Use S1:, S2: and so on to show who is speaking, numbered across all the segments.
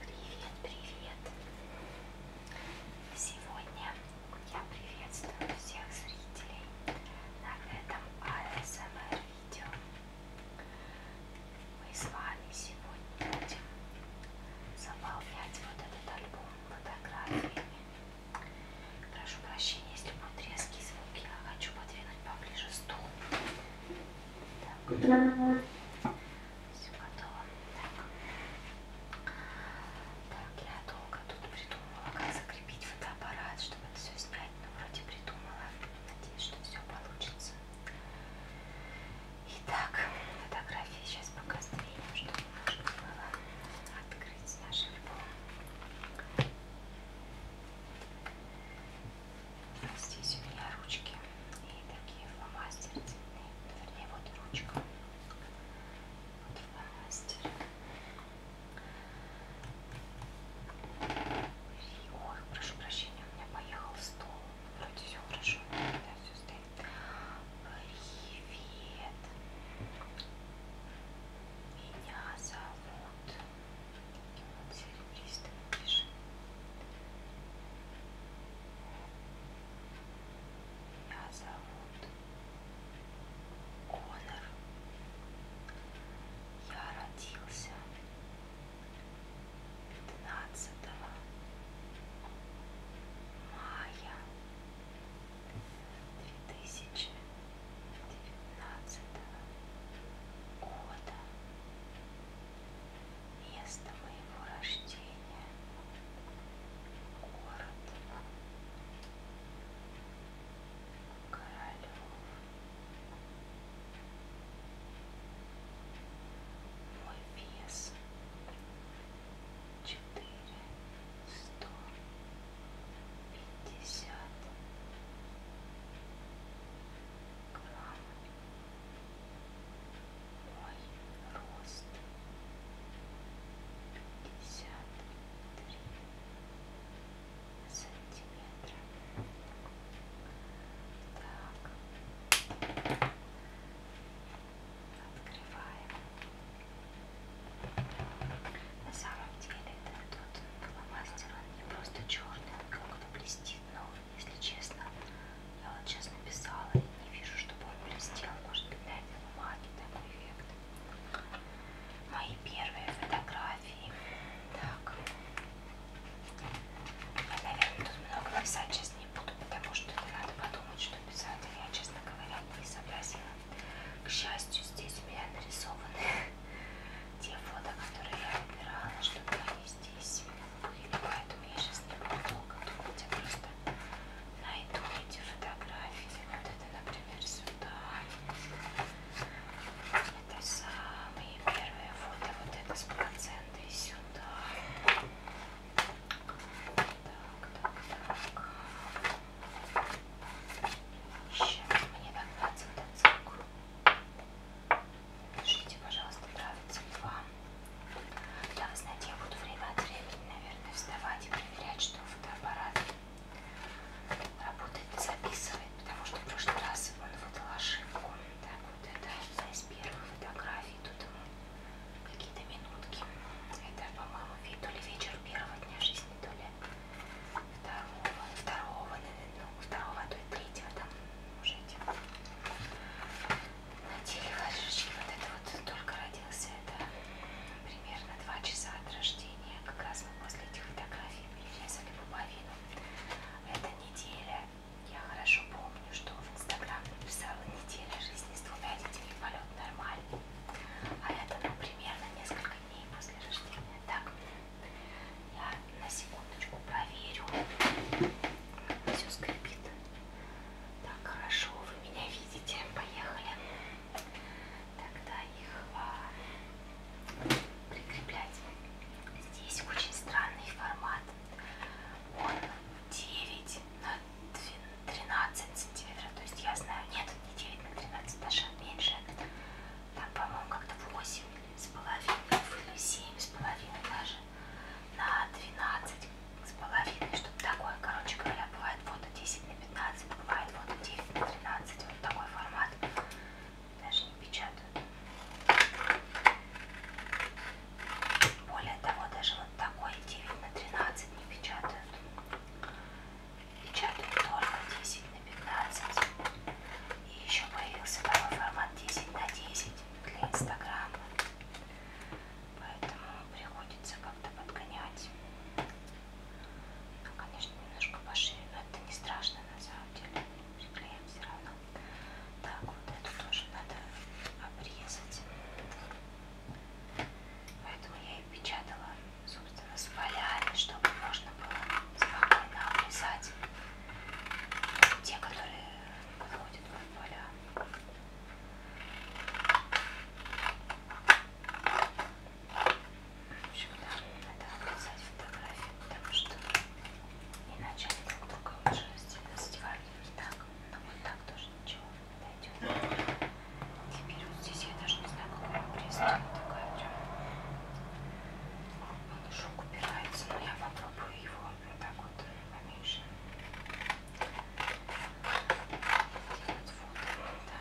S1: Привет, привет! Сегодня я приветствую всех зрителей на этом ASMR а видео. Мы с вами сегодня будем заполнять вот этот альбом фотографиями. Прошу прощения, если будут резкие звуки, я хочу подвинуть поближе стул. Все готово. Так. так, я долго тут придумала, как закрепить фотоаппарат, чтобы это все снять. Но вроде придумала. Надеюсь, что все получится. Итак, фотографии сейчас пока сдвинем, чтобы можно было открыть наш альбом. Здесь у меня ручки и такие фломастеры цветные. Вернее, вот ручка. Вот фломастер. Ой, прошу прощения, у меня поехал стол. Вроде все хорошо, да, все стоит. Привет. Меня зовут серебристыми пиши. Меня зовут Конор. Я родился 15 мая 2019 года место моего рождения, город Королев. Мой вес четыре сто пятьдесят к вам мой рост пятьдесят три сантиметра. Так, открываем. На самом деле, да, тут фломастер, он не просто черный как бы блестит, но если честно, я вот сейчас написала и не вижу, чтобы он блестел. Может быть, на этом бумаге такой эффект. Мои первые фотографии. Так. Я, наверное, тут много писать сейчас не буду, потому что надо подумать, что писать. Я, честно говоря, не сообразила. К счастью, здесь у меня нарисованы те фото, которые я выбирала, чтобы они здесь были. Поэтому я сейчас не буду готовить, я просто найду эти фотографии. Вот это, например, сюда. Это самые первые фото. Вот это с процентой сюда. Так, так, так. Сейчас мне так надо цирку. Пишите, пожалуйста, нравится ли вам. Да, вы знаете, я буду время от времени, наверное, вставать и проверять, что фотоаппарат работает, записывает, потому что в прошлый раз он выдал ошибку. Так, вот это одна из первых фотографий, тут ему какие-то минутки. Это, по-моему, вид то ли вечер первого дня жизни, то ли второго, второго, наверное, ну, второго, а то и третьего там уже идем. Надели ложечки, вот это вот только родился, это примерно 2 часа от рождения, как раз мы после этих фотографий перерезали пуповину. Эта неделя, я хорошо помню, что в Инстаграм написала неделя жизни с двумя детьми, полет нормальный. А это, ну, примерно несколько дней после рождения. Так, я на секундочку проверю. Все скрипит. Так, хорошо, вы меня видите. Поехали. Тогда их а, прикреплять. Здесь очень странный формат. Он 9 на 12, 13 сантиметров. То есть я знаю, нет, не 9 на 13, даже меньше там, по-моему, как-то 8 с половиной, или 7 с половиной даже, на 12 с половиной, что-то такое, короче говоря, бывает фото 10 на 15, бывает фото 9 на 13, вот такой формат, даже не печатают. Более того, даже вот такой 9 на 13 не печатают печатают только 10 на 15 и еще появился новый формат 10 на 10 для инстаграма поэтому приходится как-то подгонять ну, конечно немножко пошире но это не страшно на самом деле приклеим все равно так вот эту тоже надо обрезать поэтому я и печатала собственно, сваляли, чтобы можно было спокойно обрезать те, которые подходят под поля. В общем, да, надо обрезать фотографии, потому что иначе они друг друга уже задевают. Так, но ну, вот так тоже ничего не дойдет. Теперь вот здесь я даже не знаю, какой обрез. Такая прям Шок убирается, но я попробую его вот так вот поменьше. Делать фото.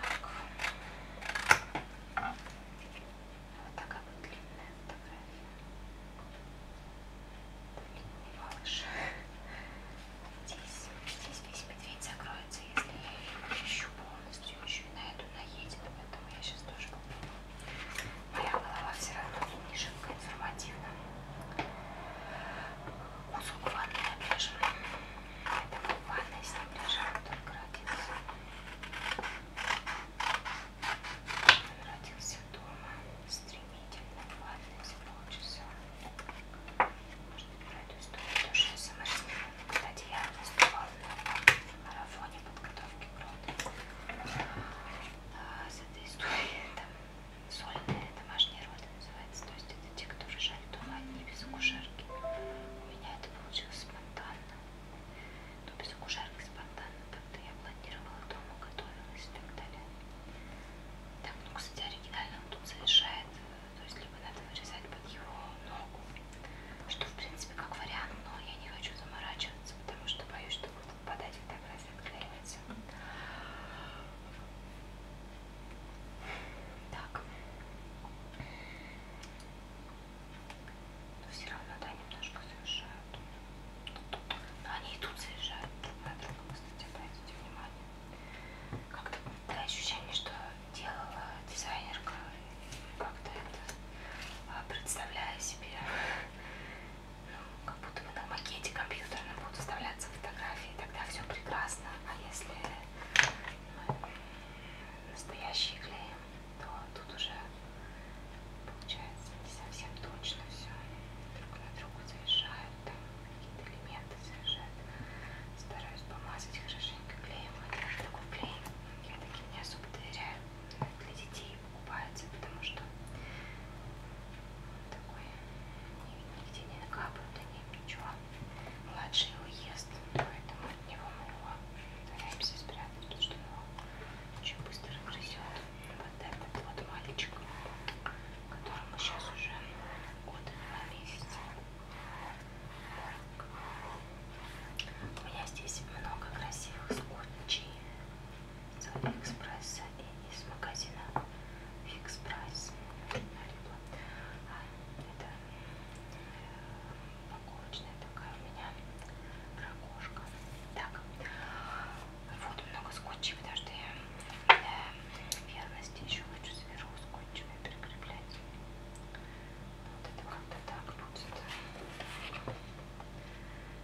S1: Так. Вот такая вот длинная фотография. Длинный малыш. Здесь, здесь весь медведь закроется, если я его ищу полностью еще и на эту наедет, поэтому я сейчас тоже куплю. Моя голова все равно не шибко информативна. Музыку в ванной я пишу. Поэтому в ванной с ним лежал только родился. Он родился дома стремительно, в ванной за полчаса можно про эту историю тоже саморазмер. Кстати, я выступала на марафоне подготовки к родам. А, с этой историей там сольные домашние роды называется. То есть это те, кто рожали дома одни без акушерки. У меня это получилось спонтанно. Но ну, без акушерки спонтанно. Тогда я планировала дома, готовилась и так далее. Так, ну, кстати, оригинально он тут совершает э, то есть либо надо вырезать под его ногу, что в принципе как вариант, но я не хочу заморачиваться, потому что боюсь, что будет попадать фотография отклеивается. Так. Но все равно, да, немножко завершают. Но они и тут заезжают друг на друга, кстати, обратите внимание. Как-то ощущение, что делала дизайнерка, как-то это а, представляя себе, ну, как будто бы на макете компьютерном будут вставляться фотографии, тогда все прекрасно, а если мы настоящие клеим, то тут уже получается не совсем точно все друг на другу заезжают там какие-то элементы совершенно. Стараюсь помазать хорошенько клеем. Вот даже такой клей я таким не особо доверяю. Для детей покупается, потому что такой нигде не накапывают на ним ничего. Младший его ест, поэтому от него мы его стараемся спрятать, потому что его очень быстро грызет. Вот этот вот мальчик, которому сейчас уже от 2 месяца. У меня здесь много красивых скотчей с Алиэкспресса и из магазина Фикс Прайс. А, это упаковочная э, такая у меня ракушка. Так, вот много скотчей, потому что я для э, верности еще хочу сверху скотчами прикреплять. Вот это как-то так будет.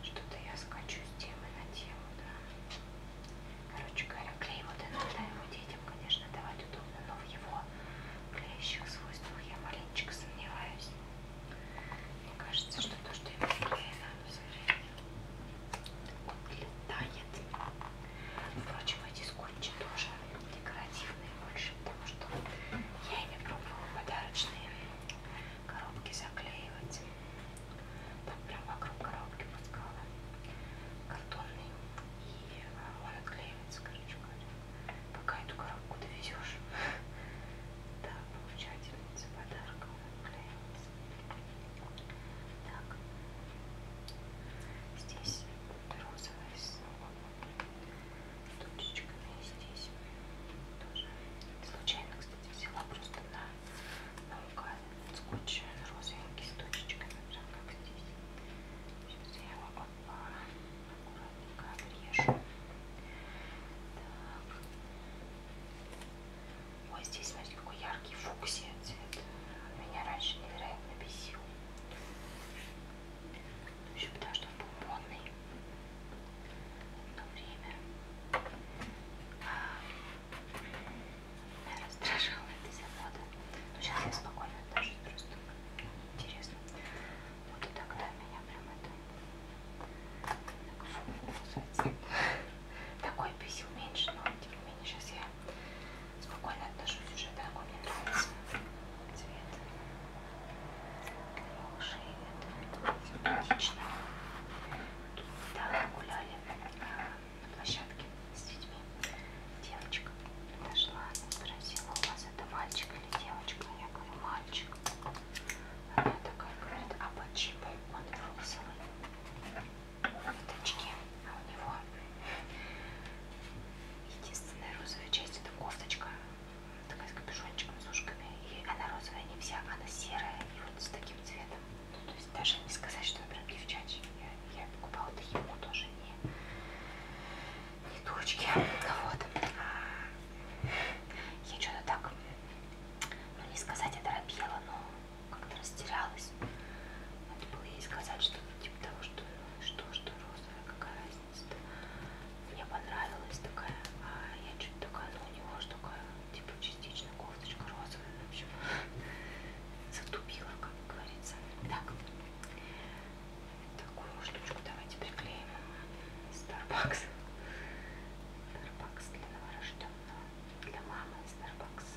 S1: Что-то я скачу с темы на тему, да. Короче говоря, клей вот иногда его детям, конечно, давать удобно, но в его клеящих свойствах я маленечко сомневаюсь. Мне кажется, что то, что ему клеено, все время отлетает. Впрочем, эти скотчи тоже декоративные больше, потому что я ими пробовала подарочные коробки заклеивать. Там прям вокруг коробки пускала картонный, и а, он отклеивается, короче говоря. Пока эту коробку довезешь, да, получательница подарка отклеивается. Так, здесь розовая с точечками здесь тоже. Случайно, кстати, взяла просто на наугад скотч розовенький с точечками, прям как здесь. Сейчас я его аккуратненько обрежу. Так. Ой, здесь, смотрите, какой яркий фуксия цвет. Меня раньше невероятно бесил. Ну, еще потому что он был модный одно время. А, меня раздражала эта замода. Но ну, сейчас я спокойно даже просто интересно. Вот и тогда меня прям это так, фу, такой бесил меньше, но тем не менее сейчас я спокойно отношусь уже, да, он мне нравится цвет шеи, это симпатично недавно гуляли а, на площадке с детьми девочка подошла, спросила, у вас это мальчик или девочка? Я говорю, мальчик она такая говорит, а по чипу он розовый кофточки, а у него единственная розовая часть это кофточка, такая с капюшончиком, с ушками, и она розовая не вся, она серая и вот с таким цветом. Ну, то есть даже не сказать, что она прям девчачья, я, я покупала это ему тоже не, не дурочки, вот. А, я что-то так, ну не сказать, это рабела, но как-то растерялась. Надо было ей сказать что-то ну, типа того, что, что, что розовая, какая разница-то. Мне понравилась такая, а я чуть такая, ну у него же такая, типа частично кофточка розовая, в общем, затупила, как говорится. Так, такую штучку давайте приклеим. Starbucks. Starbucks для новорожденного для мамы Starbucks.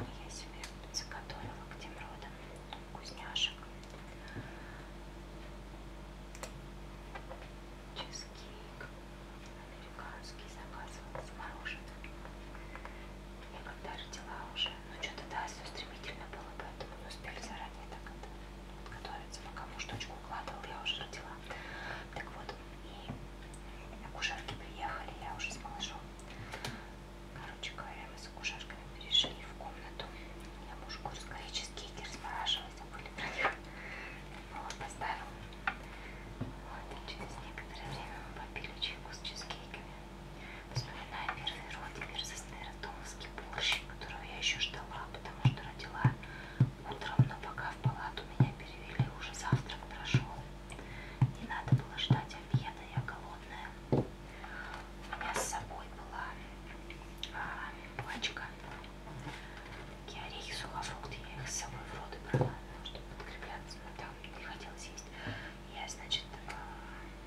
S1: Я себе заготовила к тем родам вкусняшек. Чизкейк американский заказывал с мороженым. Я когда родила уже, ну что-то да, все стремительно было, поэтому не успели заранее так это подготовиться. Пока муж точку укладывал, я уже родила. Так вот, и на кушарки приехали, я уже с малышом. Короче говоря, мы с кушарками перешли в комнату. Я мужу говорю, скорее чизкейки размораживай, забыли про них. Вот, поставил. Вот, и через некоторое время мы попили чайку с чизкейками. Вспоминаю первый родимир со Томовский борщ, которого я еще ждала, потому что родила утром, но пока в палату меня перевели, уже завтрак прошел. Не надо было ждать обеда, я голодная. У меня с собой была а, пачка. Такие орехи, сухофрукты, я их с собой в роды брала, чтобы подкрепляться, но ну, там не хотелось есть. Я, значит, а,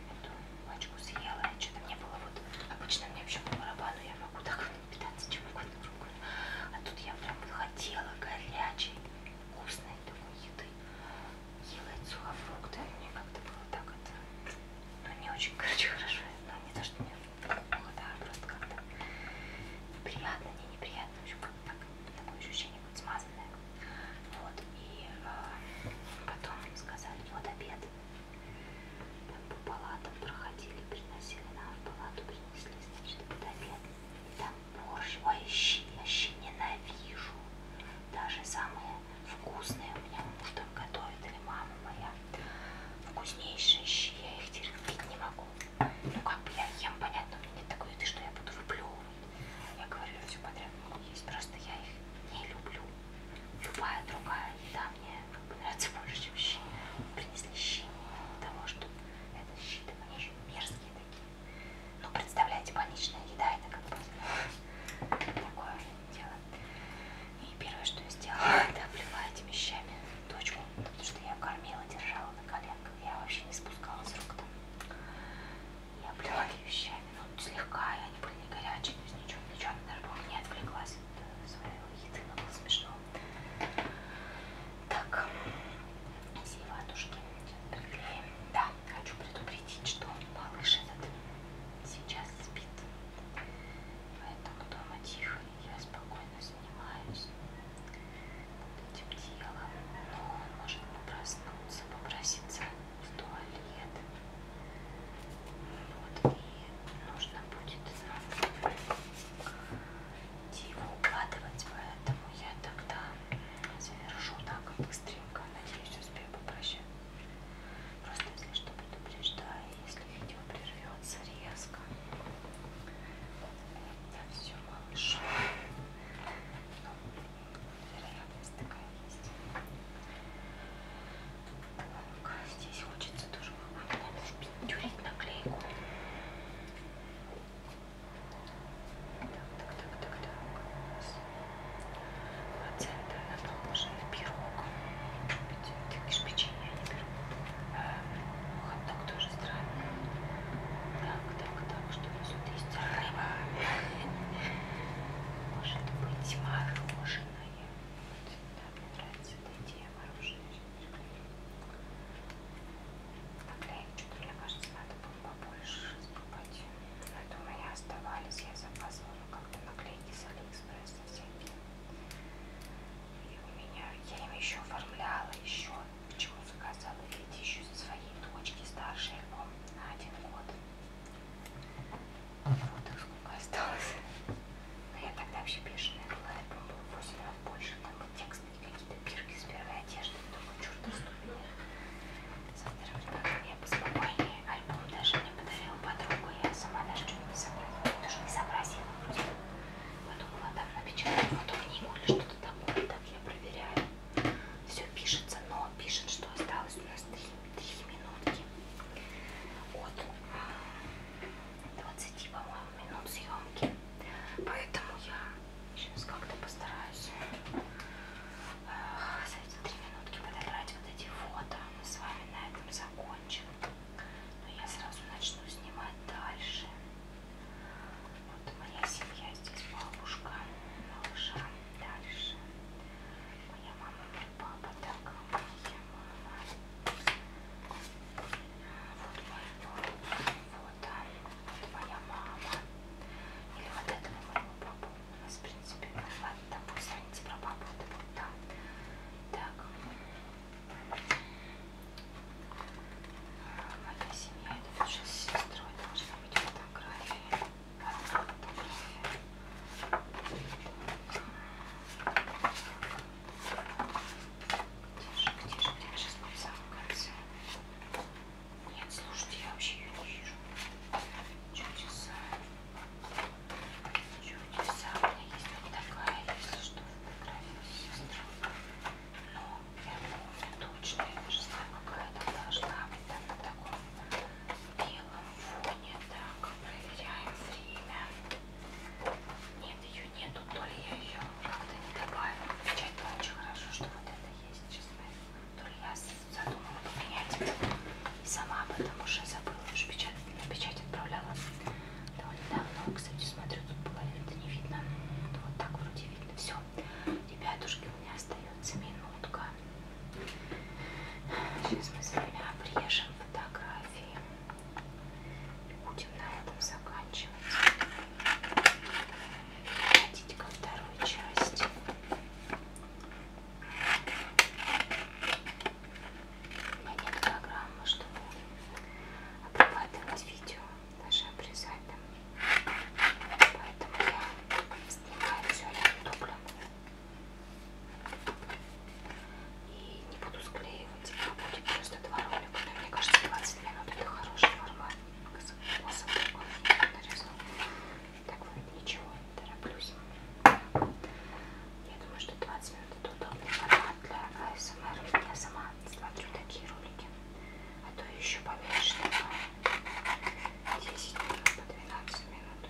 S1: эту пачку съела, и что-то мне было вот... Обычно мне вообще по барабану, я могу так питаться чем угодно другое. А тут я прям хотела горячей, вкусной такой еды. Ела эти сухофрукты. А мне как-то было так это... Ну, не очень, короче, хорошо. Но не то, что мне плохо, да, а просто как-то неприятно, не неприятно. В общем, как так, такое ощущение будет смазанное. Вот. И э, потом им сказали, вот обед. Там по палатам проходили, приносили нам в палату, принесли Шедовед. Там борщ, ой, щи, я щи ненавижу. Даже самые вкусные у меня муж там готовит, или мама моя. Вкуснейшие щи, я их терпеть не могу. Ну как бы я ем, понятно, у меня нет такой еды, что я буду выплевывать. Я говорю, все подряд могу есть, просто я их не люблю. Любая другая еда мне мне нравится больше, чем щи. Принесли щи того, что это щи, они еще мерзкие такие. Ну, представляете, больничная еда, это как бы такое дело. И первое, что я сделала, это облила этими щами дочку, потому что я кормила, держала на коленках, я вообще не спускала с рук там. Я облила ее щами, ну, слегка, и они были не горячие, то есть ничего, ничего, она даже, по-моему, не отвлеклась от э, своего еды, но было смешно. Так, все ватушки приклеим. Да, хочу предупредить, что малыш этот сейчас спит. Поэтому дома тихо, я спокойно занимаюсь этим делом. Но ну, он может проснуться, попроситься в туалет. Вот, и нужно будет нам его укладывать, поэтому я тогда завершу так быстренько. Надеюсь, успею попрощать. Просто если что предупреждаю, если видео прервется резко. Это все малыш. Ну, вероятность такая есть. Так, Здесь хочется тоже какую-то наклейку. Так, так, так, так, так. Центр наположенный пирог. Ты говоришь, печенье не беру. Эм, хот-дог тоже странный. Так, так, так, что у нас тут есть? Рыба. Может быть, мороженое. Вот, да, мне нравится эта идея мороженого. Тогда их что-то, мне кажется, надо было побольше покупать. Но это у меня оставались, я заказывала как-то наклейки с Алиэкспресса всякие. И у меня, я им еще оформляла, еще, почему заказала, видите, еще своей дочки старшей на один год. Вот их сколько осталось. Но я тогда вообще бешеная была, это был 8 раз больше, там был текст и какие-то пирки с первой одежды, думаю, черт ступени. Со вторым ребенком я поспокойнее, альбом даже мне подарила подруга, я сама даже что-нибудь не сообразила, даже не сообразила вроде. Подумала, так напечатала потом книгу или что-то такое, так я проверяю. Все пишется, но пишет, что осталось у нас 3, 3 минутки от 20, по-моему, минут съемки. Поэтому я сейчас как-то постараюсь за эти три минутки подобрать вот эти фото. Мы с вами на этом закончим. Но я сразу начну снимать дальше. Вот моя семья здесь, бабушка, малыша. Дальше моя мама, папа так Вот мой вот, вот моя мама. Или вот этого моего папу. У нас, в принципе, ладно, там пусть звоните про папу, это вот там. Так. Моя семья, это тоже с сестрой должна быть фотография. Одна фотография. Тише, тише, я сейчас нарисовала в конце. Нет, слушайте, я вообще ее не вижу. Чудеса. Чудеса. У меня есть вот такая, если что, фотография сестры. Но я помню точно, я даже знаю, какая там должна быть. Там на таком белом фоне. Так, проверяем время. Нет, ее нету, то ли я ее как-то не добавила. Печать-то очень хорошо, что вот это есть, честно. То ли я задумала поменять это сама, потому что забыла, уже печать, на печать отправляла довольно давно. Кстати, смотрю, тут половину-то не видно. Вот так вроде видно. Все. Ребятушки, у меня остается минутка. Сейчас мы с вами обрежем фотографии. Будем на этом заканчивать. Переходить ко второй части. У меня нет программы, чтобы обрабатывать видео, даже обрезать там. Поэтому я снимаю все на дублем. И не буду склеивать, а будет просто два ролика. Но мне кажется, 20 минут это хороший формат. Способ такой нарезал. Так вот, ничего, тороплюсь. Я думаю, что 20 минут это удобный формат для АСМР. Эм Я сама смотрю такие ролики. А то еще поменьше, на 10 минут, по 12 минут.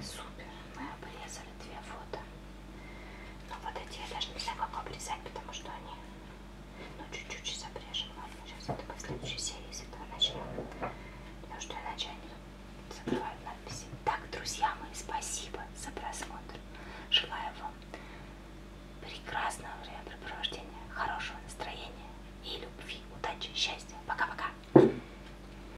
S1: Супер. Мы обрезали две фото. Но ну, вот эти я даже не знаю, как обрезать, потому что они... Ну, чуть-чуть сейчас обрежем. Ладно, сейчас это по следующей серии, с этого начнем. Потому что иначе они тут закрывают надписи. Так, друзья мои, спасибо за просмотр. Желаю вам прекрасного времяпрепровождения, хорошего настроения и любви, удачи, счастья. Пока-пока.